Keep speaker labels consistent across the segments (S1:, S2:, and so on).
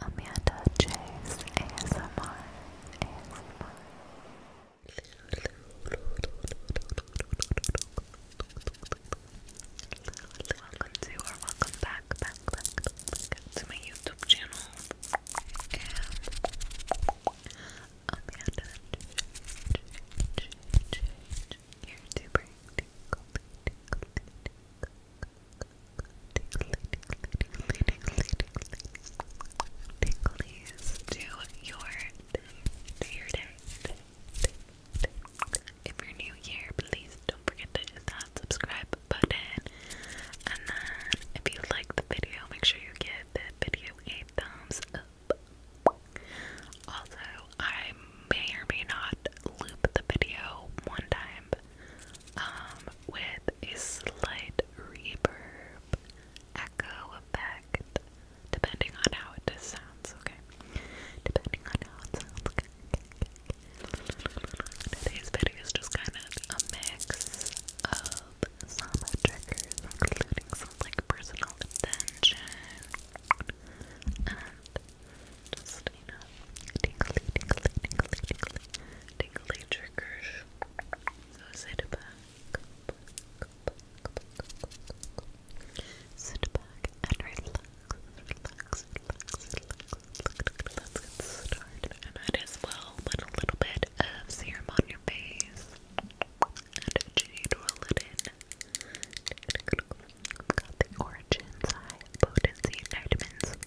S1: Amanda Chase ASMR Welcome to or welcome back back back, back to my YouTube channel Amanda Chase YouTuber tickle, Ticklies to your to your day. If you're new here, please don't forget to hit that subscribe button. And then if you like the video, make sure you give the video a thumbs up. Also, I may or may not loop the video one time um, with a slight reverb echo effect, depending on how it just sounds, okay? Depending on how it sounds, okay? Today's video is just kind of a mix of some triggers, including some like personal attention and just, you know, tingly, tingly, tingly, tingly, tingly triggers. So sit back, Sit back and relax, And I'd as well put a little bit of serum on your face and jade roll it in. got the Origins High Potency Vitamins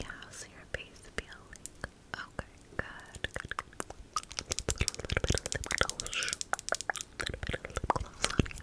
S1: Yeah, so your face peeling. Okay, good, a little bit of lip gloss. A little bit of lip gloss you.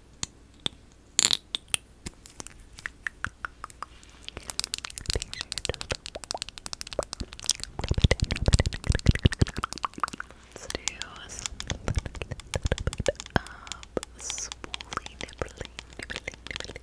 S1: Let's do spoolie nibbling, nibbling, nibbling.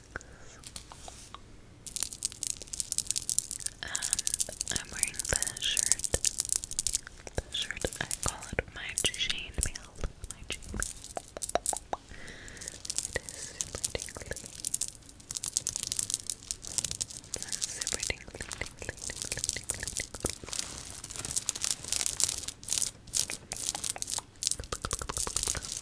S2: And um, I'm wearing the shirt. The shirt I call it my chain My chain It is super tingly. It's super tingly,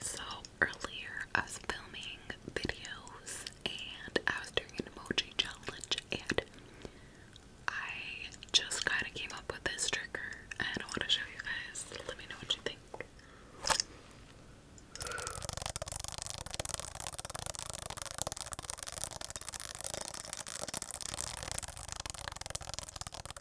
S2: So earlier I was filming videos and I was doing an emoji challenge and I just kind of came up with this trigger and I want to show you guys. Let me know what you think.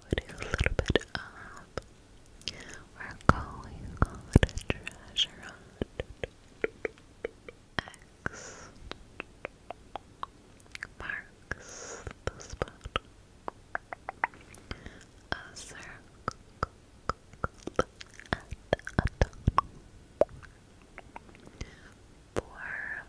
S1: a little bit up. We're going on a treasure hunt. X marks the spot. A circle and a tunnel. Four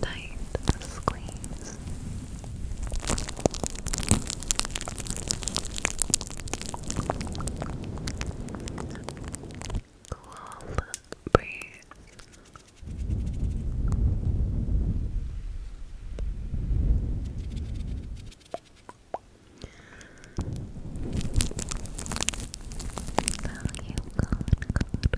S1: Tight squeeze. Cool breeze. Now you good, good,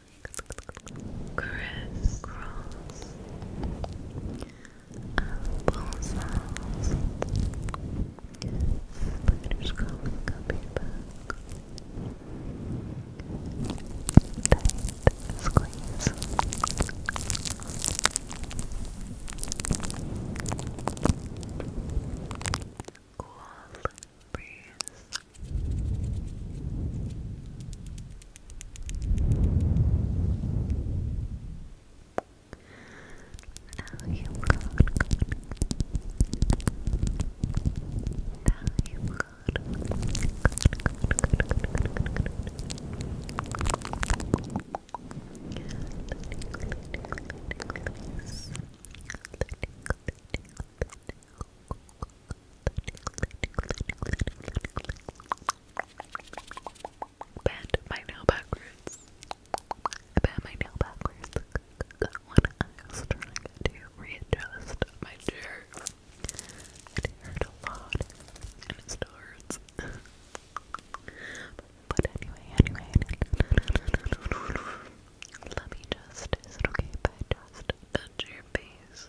S1: crisscross applesauce spiders crawling up your back tight squeeze cool breeze. Now you've Now you've Bend my nail backwards. I bent my nail backwards I was trying to readjust my chair. It hurt a lot, and it still but anyway, anyway, let me just, is it okay if I just touch your face?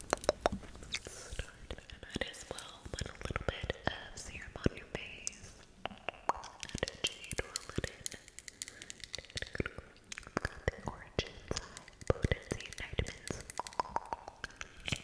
S1: Start. I might as well put a little bit of serum on your face and a jade roll it in. Got the Origins High Potency Vitamins. Okay.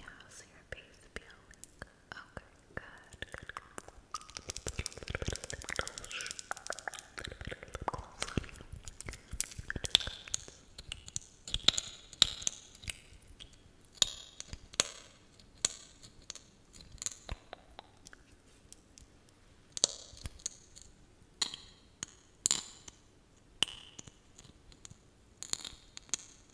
S2: How's your base feeling? Okay, good, good, good. A little bit of lip gloss. A little bit of lip gloss on you. Okay,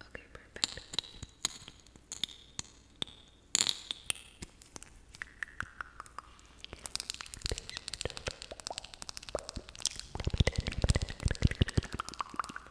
S2: Okay, perfect. Okay,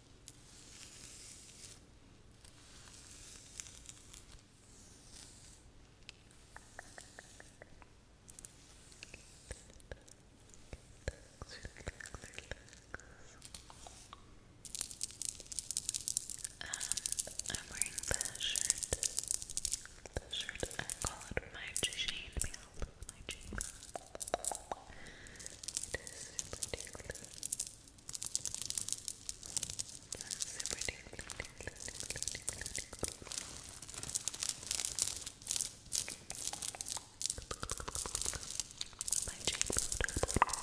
S2: I'm wearing the shirt. The shirt I call it my Jane Mail. My Jane Mail. It is super super tingly, tingly, tingly, tingly, tingly. My cheekbone. Good.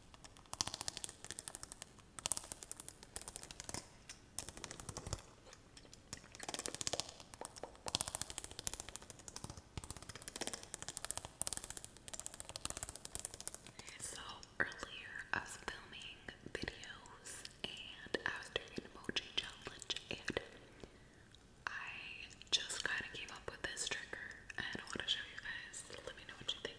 S2: So earlier I was filming videos and I was doing emoji challenge and I just kind of came came up with this trigger and I want to show you guys. Let me know what you think.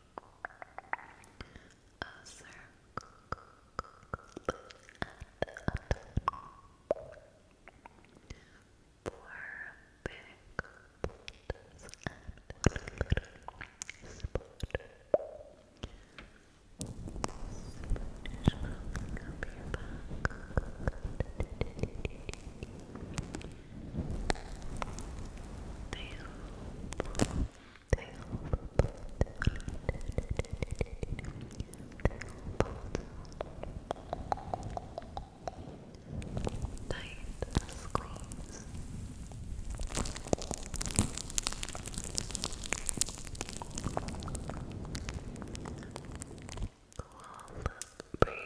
S2: A circle and a dot. Four big dots and one little spot. Spanish rolling up your back. They hope, they hope, Tight squeeze. Cool breeze.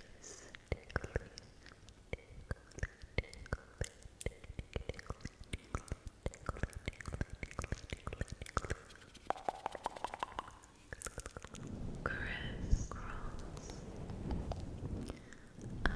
S2: Apple sauce. Spiders crawling up your back.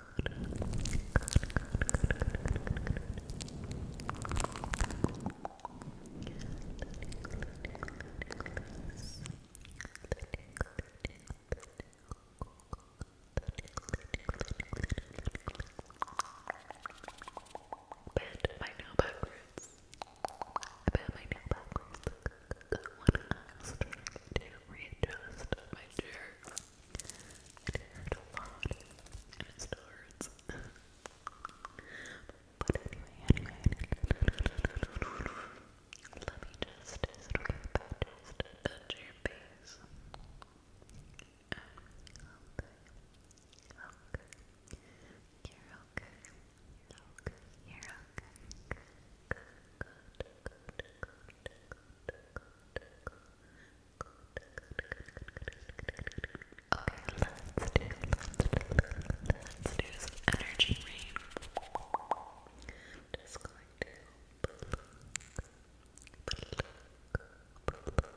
S2: Bend my nail backwards. I bend my nail backwards. When I was trying to readjust my chair. It hurt a lot, and it still hurts. but anyway, anyway, let me just, is it okay if I just touch your face? Okay, okay, you're okay, you're okay, you're okay, good, good, good, good, good, good, good. Okay, let's do, let's do some energy rain. Just going to pluck, pluck, pluck.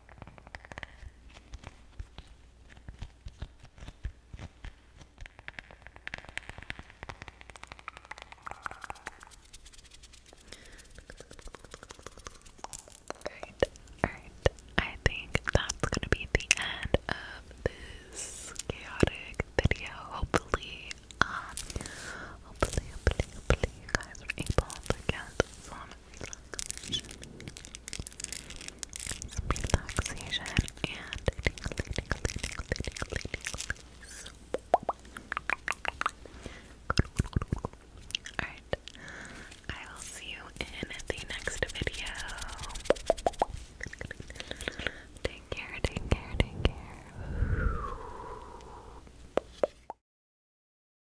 S2: Alright, alright. I think that's gonna be the end of this chaotic video. Hopefully, um, hopefully, hopefully, hopefully you guys were able to get some some relaxation and Alright, I will see you in the next video. Take care, take care, take care.